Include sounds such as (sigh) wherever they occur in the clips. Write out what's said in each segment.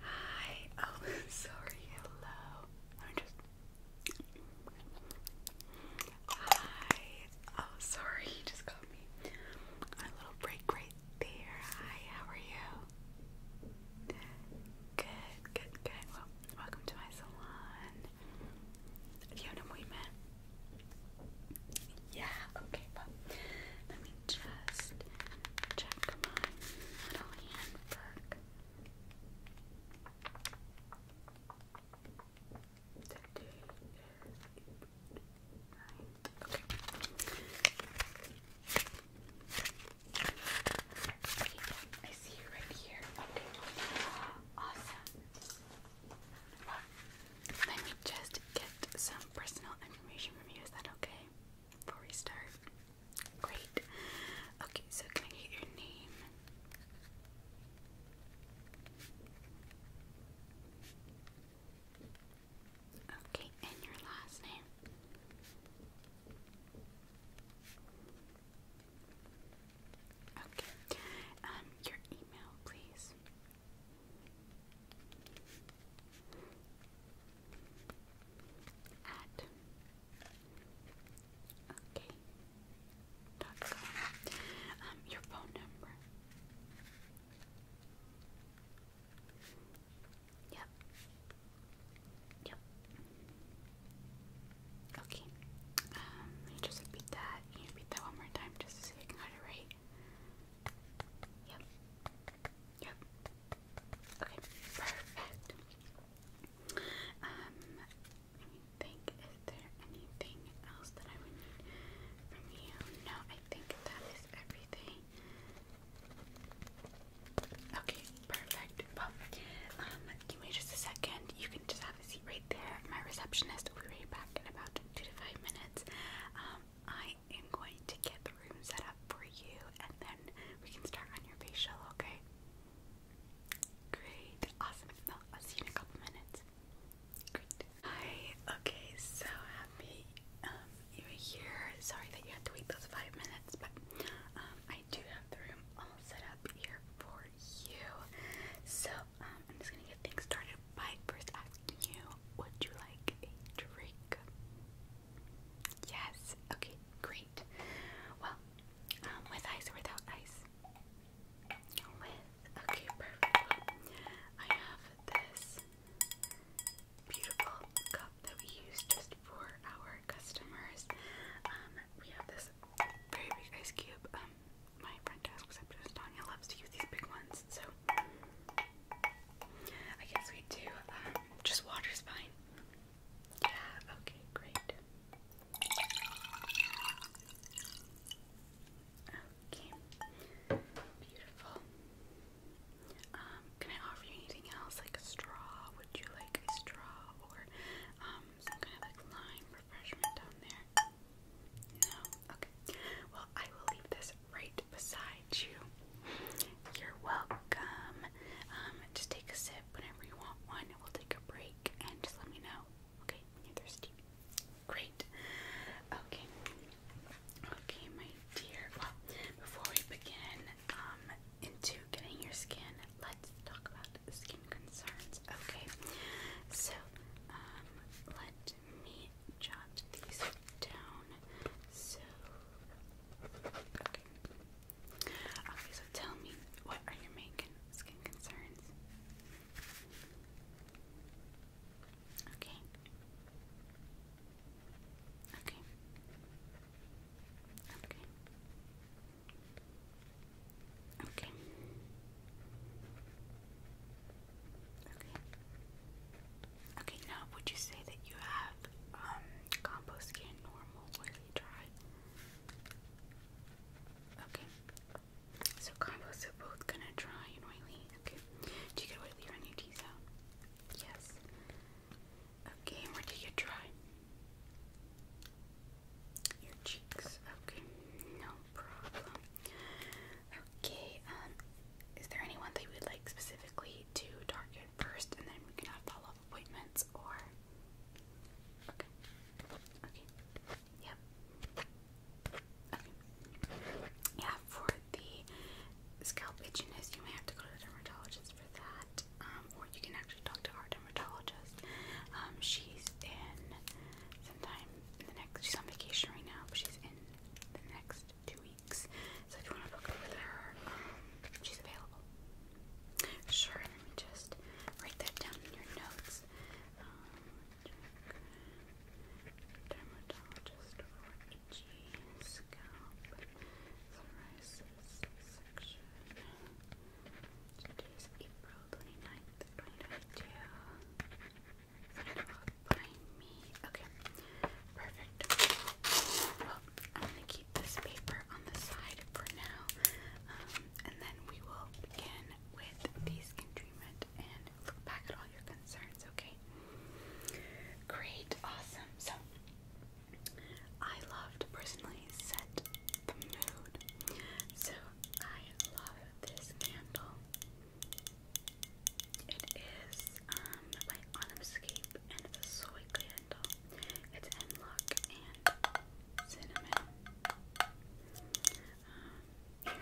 Hi. (laughs) Oh, sorry. Hello. I'm just. Hi. Oh, sorry. You just got me a little break right there. Hi. How are you? Good. Good. Good. welcome to my salon. Diana Muime. Yeah, okay, let me just check my little handbook. Today is okay. I see you right here. Okay. Awesome. Let me just get some personal information from you. Is that okay? Before we start? Great. Okay, so can I get your name? Okay, and your last name. Okay. Um, your email, please. At okay. Dot com. Um, your phone number. Yep. Yep. Okay. Um, let just repeat that. you repeat that one more time just so they can right. Yep. Yep. Okay, perfect. Um, let me think. Is there anything else that I would need from you? No, I think that is everything. Okay, perfect. um, give me just a second. You can just have right there. My receptionist will be right back in about two to five minutes. Um, I am going to get the room set up for you and then we can start on your facial, okay? Great, awesome. Well, i see you in a couple minutes. Great. Hi, okay, so happy um, you were here. Sorry that you had to wait those five minutes, but um, I do have the room all set up here for you. So um, I'm just gonna get things started by first asking you, would you like a drink? Yes. Okay, great. Well, um, with ice or without ice? With. Okay, perfect. I have this beautiful cup that we use just for our customers. Um, we have this very big ice cube my friend desk receptionist Tanya loves to use these big ones, so I guess we do. Um, just water's fine. Yeah, okay, great. Okay, beautiful. Um, can I offer you anything else, like a straw? Would you like a straw or um, some kind of lime refreshment down there? No? Okay. Well, I will leave this right beside you. You're welcome. Um, just take a sip whenever you want one. We'll take a break and let me know. Okay, thirsty. Great. Okay. Okay, my dear. Well, before we begin, um, into getting your skin, let's talk about skin concerns. Okay. So um, let me jot these down. So, okay. Okay, so tell me, what are your main skin concerns? Okay. Okay. Okay. Okay. Okay. Okay, now would you say that you have um, combo skin normal oily dry? Okay. So combos are both gonna dry and oily. Okay. Do you get oily on your T zone? Yes. Okay, and do you get dry? Your cheeks. Okay, no problem. Okay, um, is there anyone that you would like specifically to target first and then we can have follow up appointments or. Okay. Okay. Yep. Okay. Yeah, for the scalp itchiness, you may have to go to the dermatologist for that. Um, or you can actually talk to our dermatologist. Um, she's in sometime in the next. She's on vacation right now, but she's in the next two weeks. So if you want to book with her, um, she's available. Sure. Let me just write that down in your notes. Um, dermatologist for itchy section. Today's April 29th, 2022. Behind me. Okay, perfect. Well, I'm gonna keep this paper on the side for now, um, and then we will begin with these in treatment and look back at all your concerns. Okay. Great, awesome. So, I loved personally set so I love this candle. It is um by Onyxscape and a soy candle. It's hemlock and cinnamon. Um, you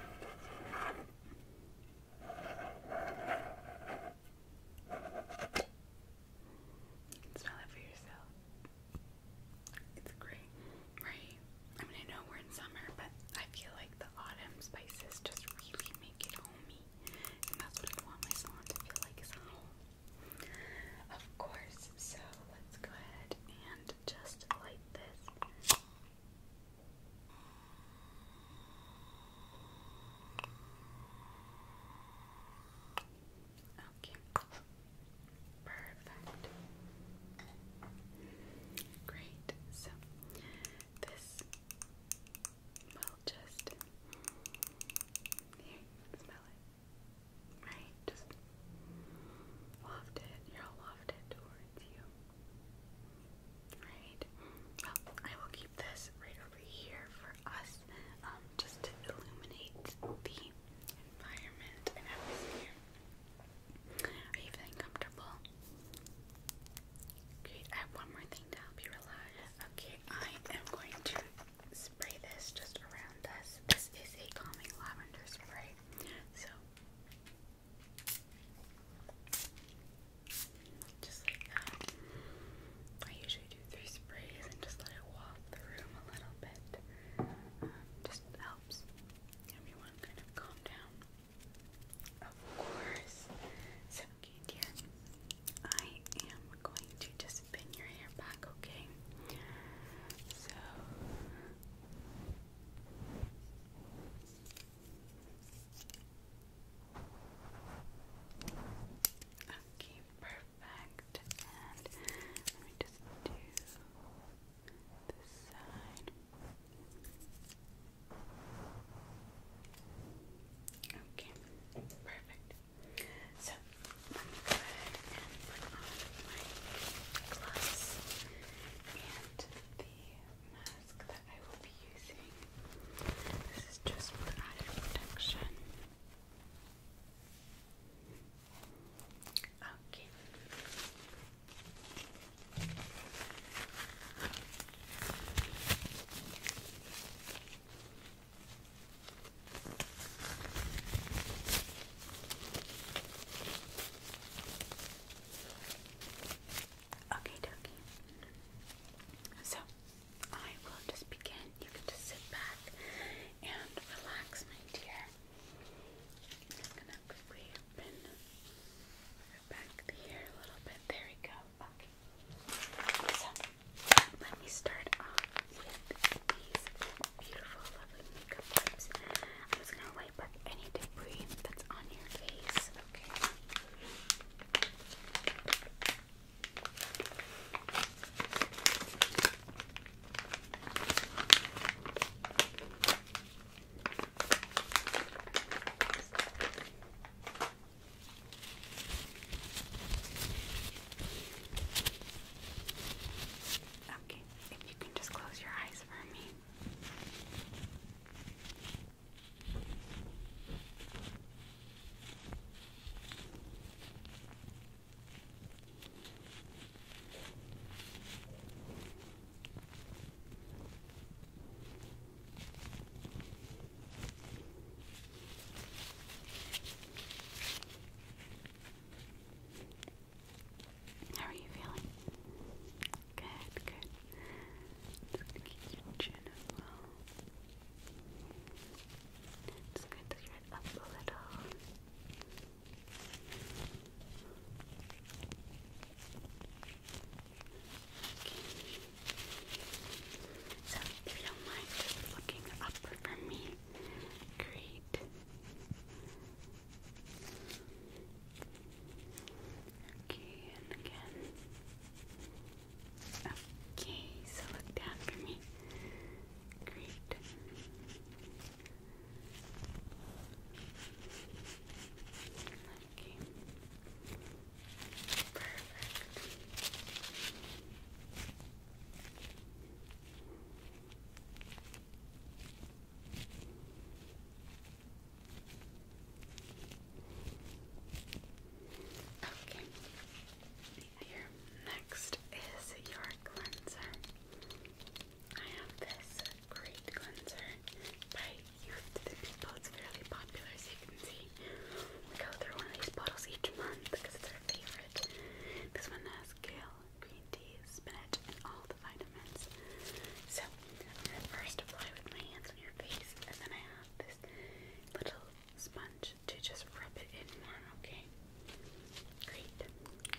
can smell it for yourself. It's great, right? I mean, I know we're in summer, but I feel like the autumn spices just really make it homey, and that's what I want my salon to feel like is home. Of course, so let's go ahead and just light this. Okay. Perfect. Great. So this will just smell it. Right? Just waft it. You'll waft it towards you. Right? I will keep this right over here for us, um, just to illuminate the environment atmosphere. Are you feeling comfortable? Great. I have one more thing to help you relax. Okay, I am going to spray this just around us. This is a calming lavender spray. So just like that. I usually do three sprays and just let it walk the room a little bit. Um, just helps everyone kind of calm down. Of course. So, okay, I am going to just spin your hair back, okay? So. Okay, perfect. And let just do this Okay, perfect. So let me go ahead put on my gloves and the mask that I will be using. This is just for added protection. Okay. Okay, So I will just begin. You can just sit back and relax, my dear. I'm let me start off with these beautiful, lovely makeup wipes. I'm gonna wipe up any debris that's on your face. Okay. Okay, if you can just close your eyes for me. How are you feeling? Good, good. Just gonna keep your chin as well. Just going to get up a little. So, if you mind just looking up for me, great. Okay, and again. Okay, so look down for me. Great. Okay. Perfect. Okay. Here next is your cleanser. I have this great cleanser by Youth to the People. It's fairly popular, as you can see. We go through one of these bottles each month because it's our favorite. This one has kale, green tea, spinach, and all the vitamins. So, I'm going to first apply with my hands on your face, and then I have this little sponge to just rub it in more, okay? Great. Okay.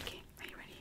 Okay, are you ready?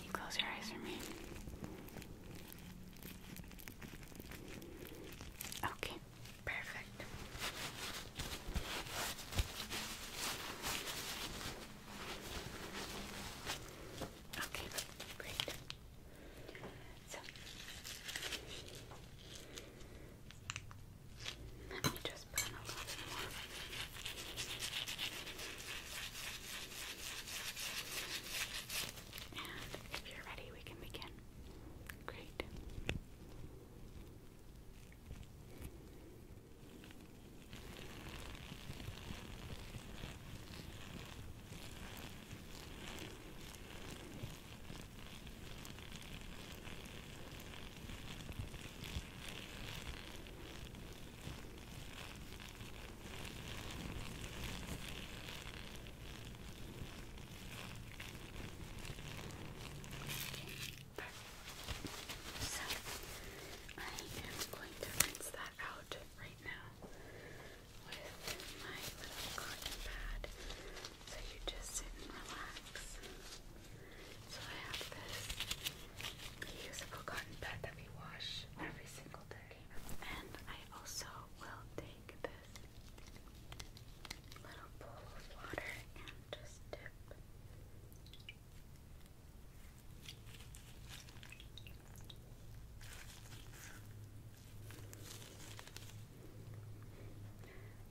you close your eyes for me? Okay, perfect. Okay, so let me just put a little more. And if you're ready, we can begin. Great. So I am going to rinse that out right now with my little cotton pad so you just sit and relax. So I have this reusable cotton pad that we wash every single day. And I also will take this little bowl of water and just dip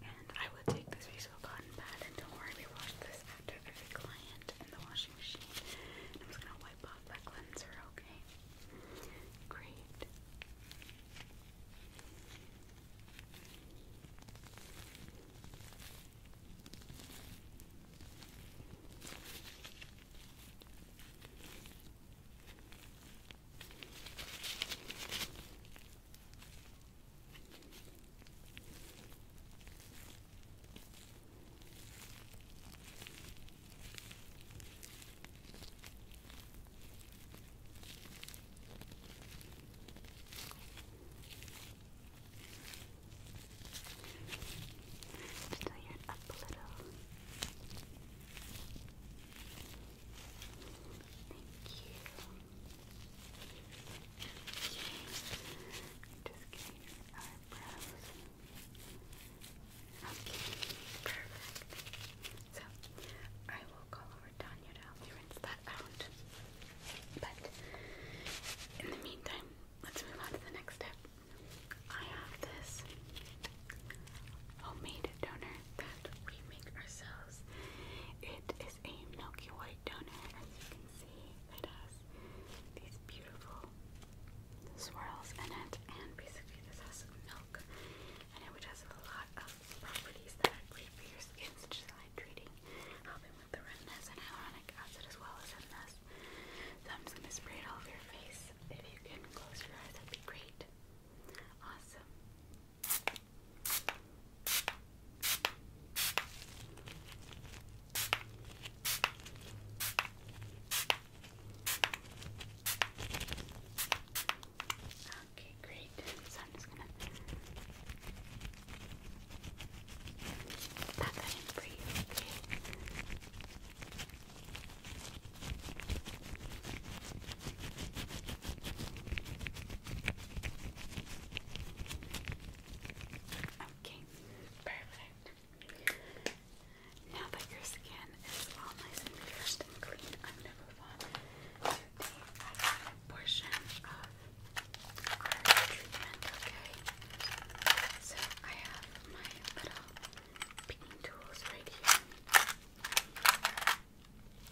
and I will take this piece of cotton pad and don't worry, we wash this after every client in the washing machine. I'm just gonna wipe off that cleanser, okay? Great. Just tighten up a little. Just getting your eyebrows. Okay, perfect. So, I will call over Tanya to help you rinse that out. But in the meantime, let's move on to the next step. I have this homemade donor that we make ourselves. It is a milky white donor, as you can see. It has these beautiful swirls in it, and basically this has milk in it, which has a lot of properties that are great for your skin, such as hydrating, helping with the redness and hyaluronic acid, as well as in this. So I'm just gonna spray it all over your face. If you can close your eyes, that'd be great. Awesome. Okay, great. So I'm just gonna pat that in for you, okay? Okay, perfect. Now that your skin is all nice and nourished and clean, I'm going to move on to the eyeliner portion of our treatment, okay? So I have my little painting tools right here.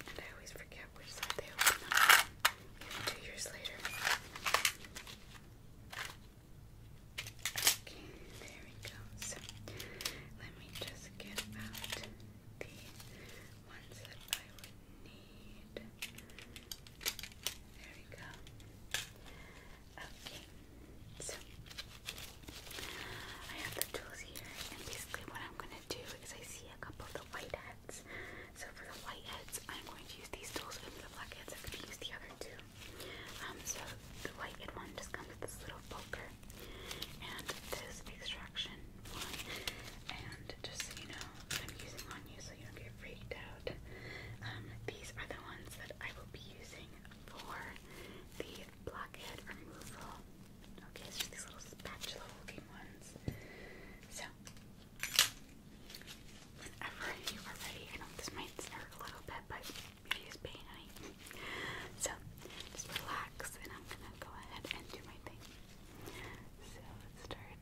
And I always forget which side they two years later. Okay, there we go. So, let me just get out the ones that I would need. There we go. Okay, so I have the tools here, and basically what I'm gonna do is I see a couple of the white heads. So for the white heads, I'm going to use these tools, and for the black heads, I'm gonna use the other two. Um, so the white head one just comes with this little poker, and this extraction one. And just so you know, I'm using on you, so you don't get freaked out. Um, these are the ones that I will be using for the blockhead removal. Okay, it's just these little spatula looking ones. So, whenever (laughs) you are ready, I know this might start a little bit, but it is pain, honey. So, just relax, and I'm gonna go ahead and do my thing. So, let's start.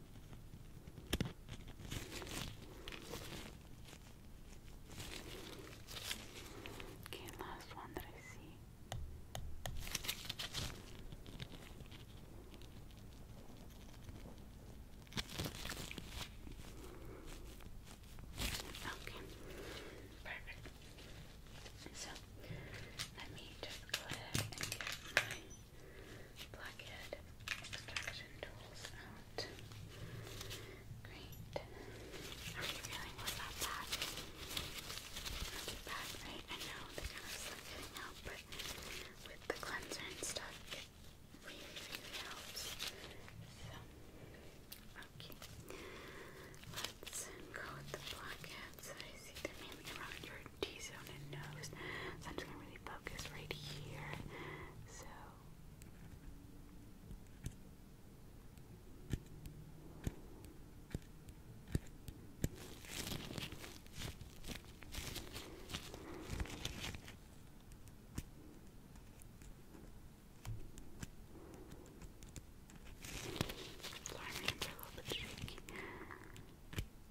Okay, last one that I see. Okay, perfect. So let me just go ahead and get my Blackhead extraction tools out. Great. Are you feeling with that back? Not back, right? I know they kind of slip but with the cleanser and stuff, it really, helps. So, okay. Let's go the blockhead I see be around your T-zone and nose. So I'm just gonna really focus right here. So. Sorry, a little bit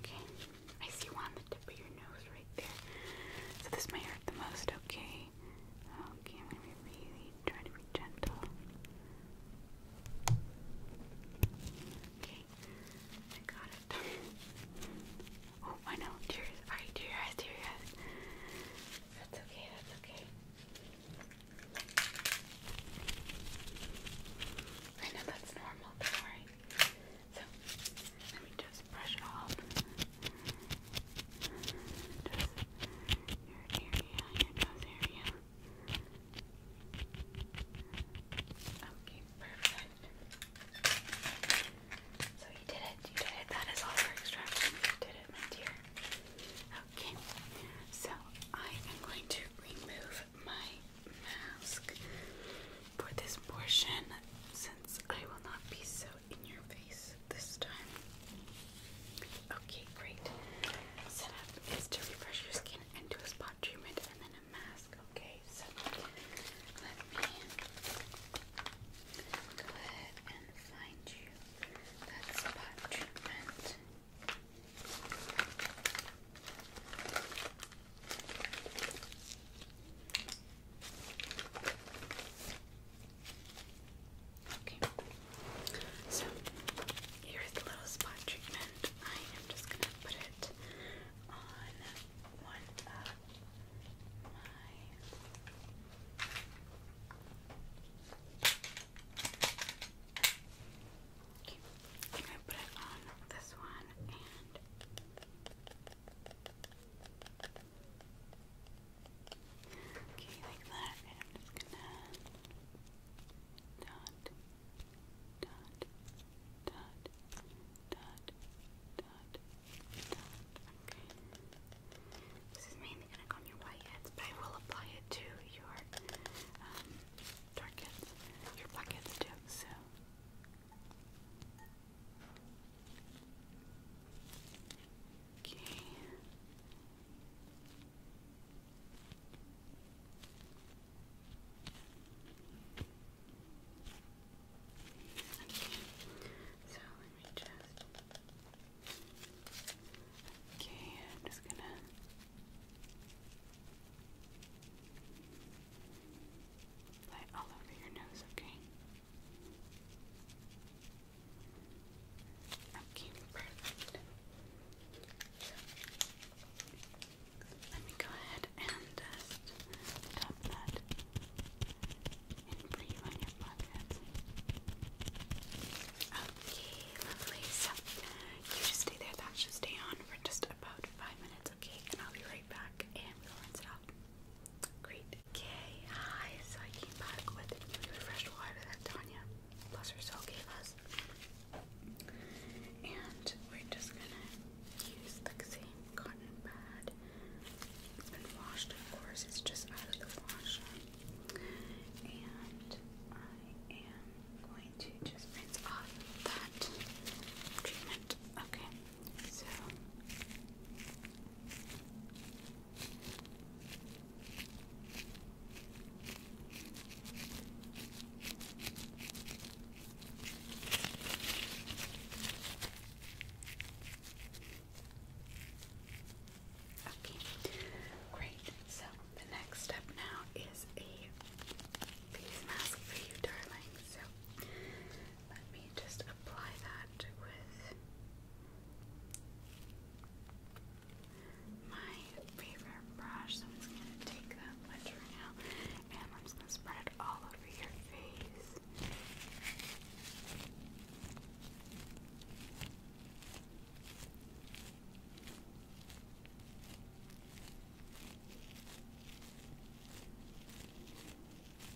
Okay, I see one on the tip of your nose right there. So this may hurt the most, okay? Okay. I'm gonna be really trying to be gentle. Okay, I got it. (laughs) oh, I know. Tears. Alright, tear eyes, tear eyes. That's okay, that's okay. I know that's normal, don't worry. So, let me just brush off. your area, your nose area. Okay, perfect. So you did it, you did it. That is all extraction. You did it, my dear. Okay, so I am going to remove my mask for this portion since I will not be so in your face this time. Okay, great. Setup is to refresh your skin and do a spot treatment and then a mask. Okay, so let me go ahead and find you that spot treatment. Okay, so here's the little spot treatment. I am just gonna put it on one of my Okay, i put it on this one Okay, like that, I'm just gonna dot, dot, dot, dot, dot, dot. Okay. This is mainly gonna go on your white but I will apply it to your um, your black too. So. Okay. Okay. So let me just. Okay, I'm just gonna. Light all over your nose, okay? Okay, Let me go ahead and just tap that and breathe on your pockets. Okay, lovely. So you just stay there. That should stay on for just about five minutes, okay? And I'll be right back and we'll rinse it out. Great. Okay, hi. So I came back with refreshed water that Tanya, bless her soul, gave us. And we're just gonna use the same cotton pad. It's been washed, of course, it's just out of the washer. And I am going to just rinse off that treatment. Okay, so Okay, great. So the next step now is a face mask for you, darling. So let me just apply that with my favorite brush. So I'm just going to take that right now and I'm just going to spread it all over your face.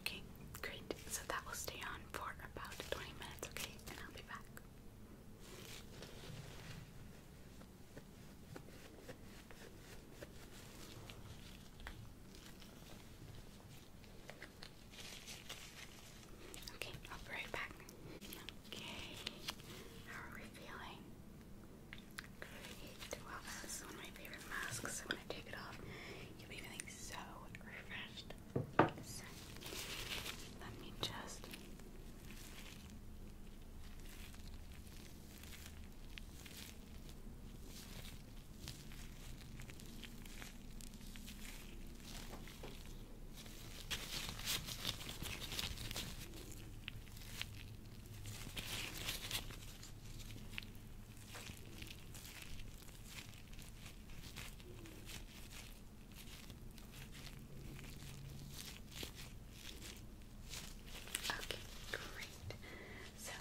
Okay, great. So that will stay on for about 20 minutes, okay? And I'll be back. Okay, I'll be right back. Okay, how are we feeling? Great. Well, this is one of my favorite masks, when I take it off, you'll be feeling so refreshed. let me just. Okay, great. So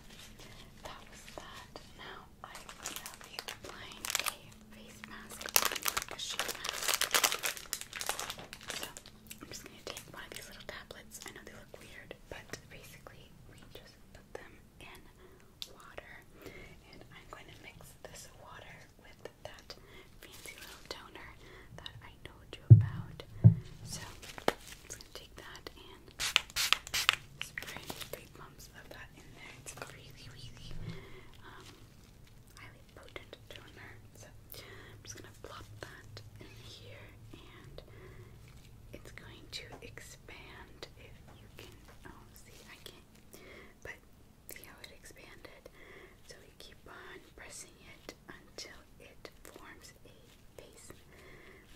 that was that. Now I will be applying a face mask, a sheet mask. I'm just gonna take one of these little tablets. I know they look weird, but basically we just put them in water, and I'm going to mix this water with that fancy little toner that I told you about. So it's gonna take that and spray three pumps of that in there. It's really, really um, highly potent toner. So I'm just gonna plop that in here, and it's going to expand. If you can, oh, see, I can't, but see how it expanded. So we keep on pressing it until it forms a face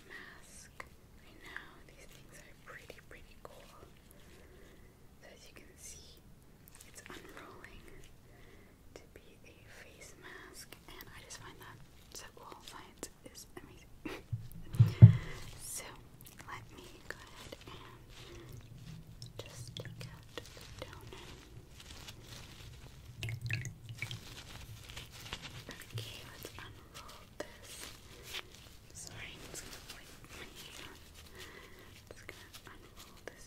mask. I know these things are pretty, pretty cool. as you can see, it's unrolling to be a face mask, and I just find that Sequel Science is amazing. (laughs) so, let me go ahead and just take out the donut. Okay, let's unroll this. Sorry, i gonna wipe my hand. just gonna unroll this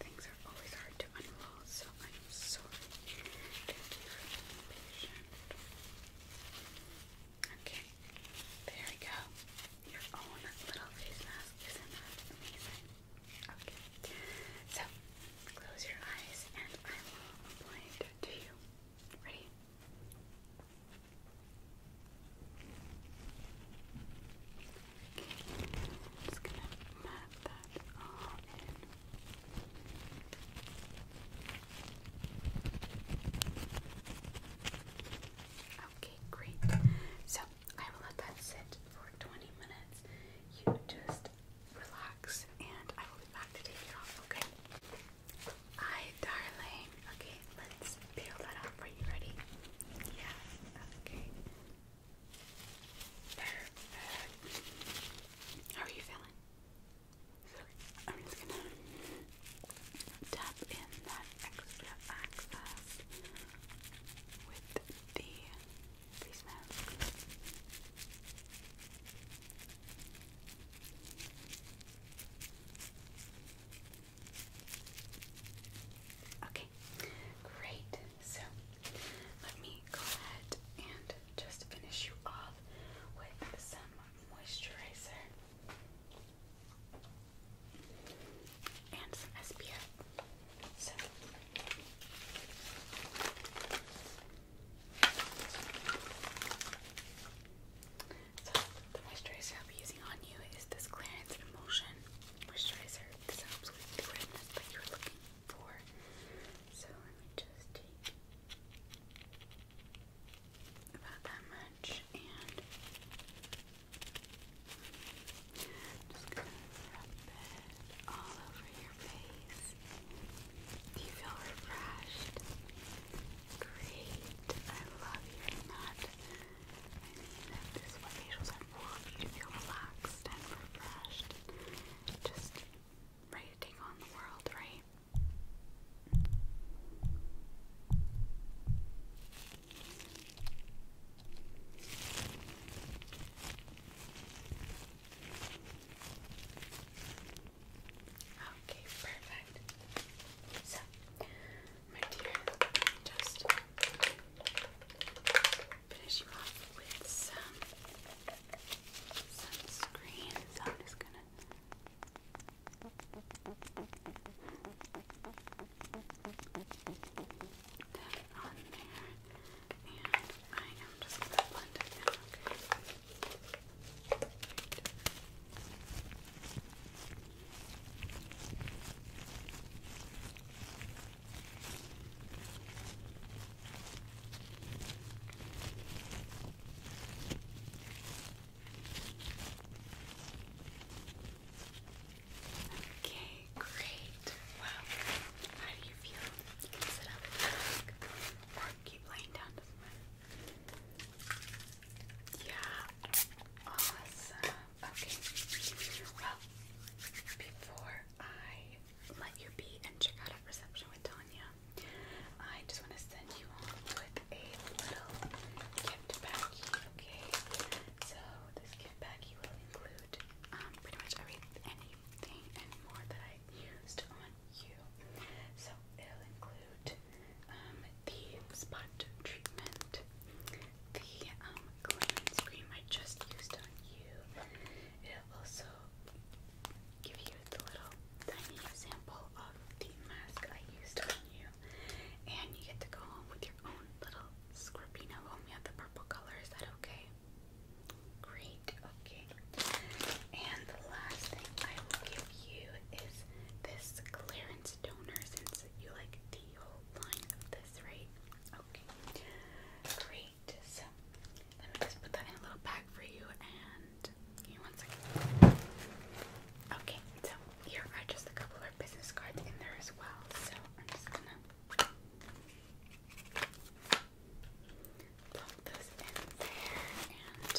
things are always hard to unroll, so I'm sorry. Thank you for being patient. Okay, there we go. Your own little face mask. Isn't that amazing? Okay, so close your eyes and I will apply it to you. Ready? i just gonna map that all in. Okay, great. So I will let that sit for 20 minutes. You just relax and I will be back to take it off, okay? Hi, darling. Okay, let's peel that off. Are you ready? Yeah, okay. Perfect. How are you feeling? I'm just gonna tap in that extra access with the face mask. Okay, great. So let me go ahead and just finish you off with some moisturizer and some SPF. So the moisturizer I'll be using on you is this Clarins Emulsion Moisturizer. This helps with the redness that you're looking for. So let me just take about that much and just gonna rub it all over your face. Do you feel refreshed? Great. I love hearing that. I mean, if what facials are for, you feel relaxed and refreshed, just ready on the world, right? Okay, perfect. So, my dear, just finish you off with some sunscreen. So I'm just gonna. That on there, and I am just gonna blend it in, Okay, great. Well, how do you feel? sit up keep laying down, Yeah, awesome okay. Well, before I let you be and check out at reception with Tanya, I just want to send you home with a little gift baggie, okay? So this gift baggie will include um, pretty much every anything and more that I used on you. So it'll include um, the spot treatment, the um, cream I just used on you. It'll also give you the little tiny sample of the mask I used on you. And you get to go home with your own little Scorpino home. have the purple color. that okay? Great. Okay. And the last thing I will give you is this clearance toner since you like the whole line of the this, Okay. Great. So let me just put that in a little bag for you and give one second. Okay, so here are just a couple of business cards in there as well. So I'm just gonna plop those in there and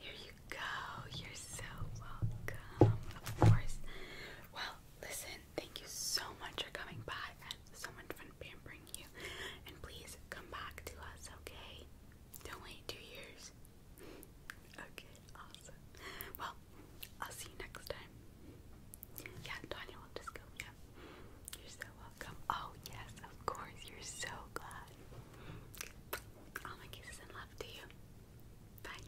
here you go. You're so welcome. Of course. Well, listen, thank you so much for coming by so much fun pampering you. And please come back to us, okay? Don't wait two years. (laughs) okay, awesome. Well, I'll see you next time. Yeah, Tanya just go, yeah. You're so welcome. Oh, yes, of course. You're so glad. All my kisses and love to you. Bye.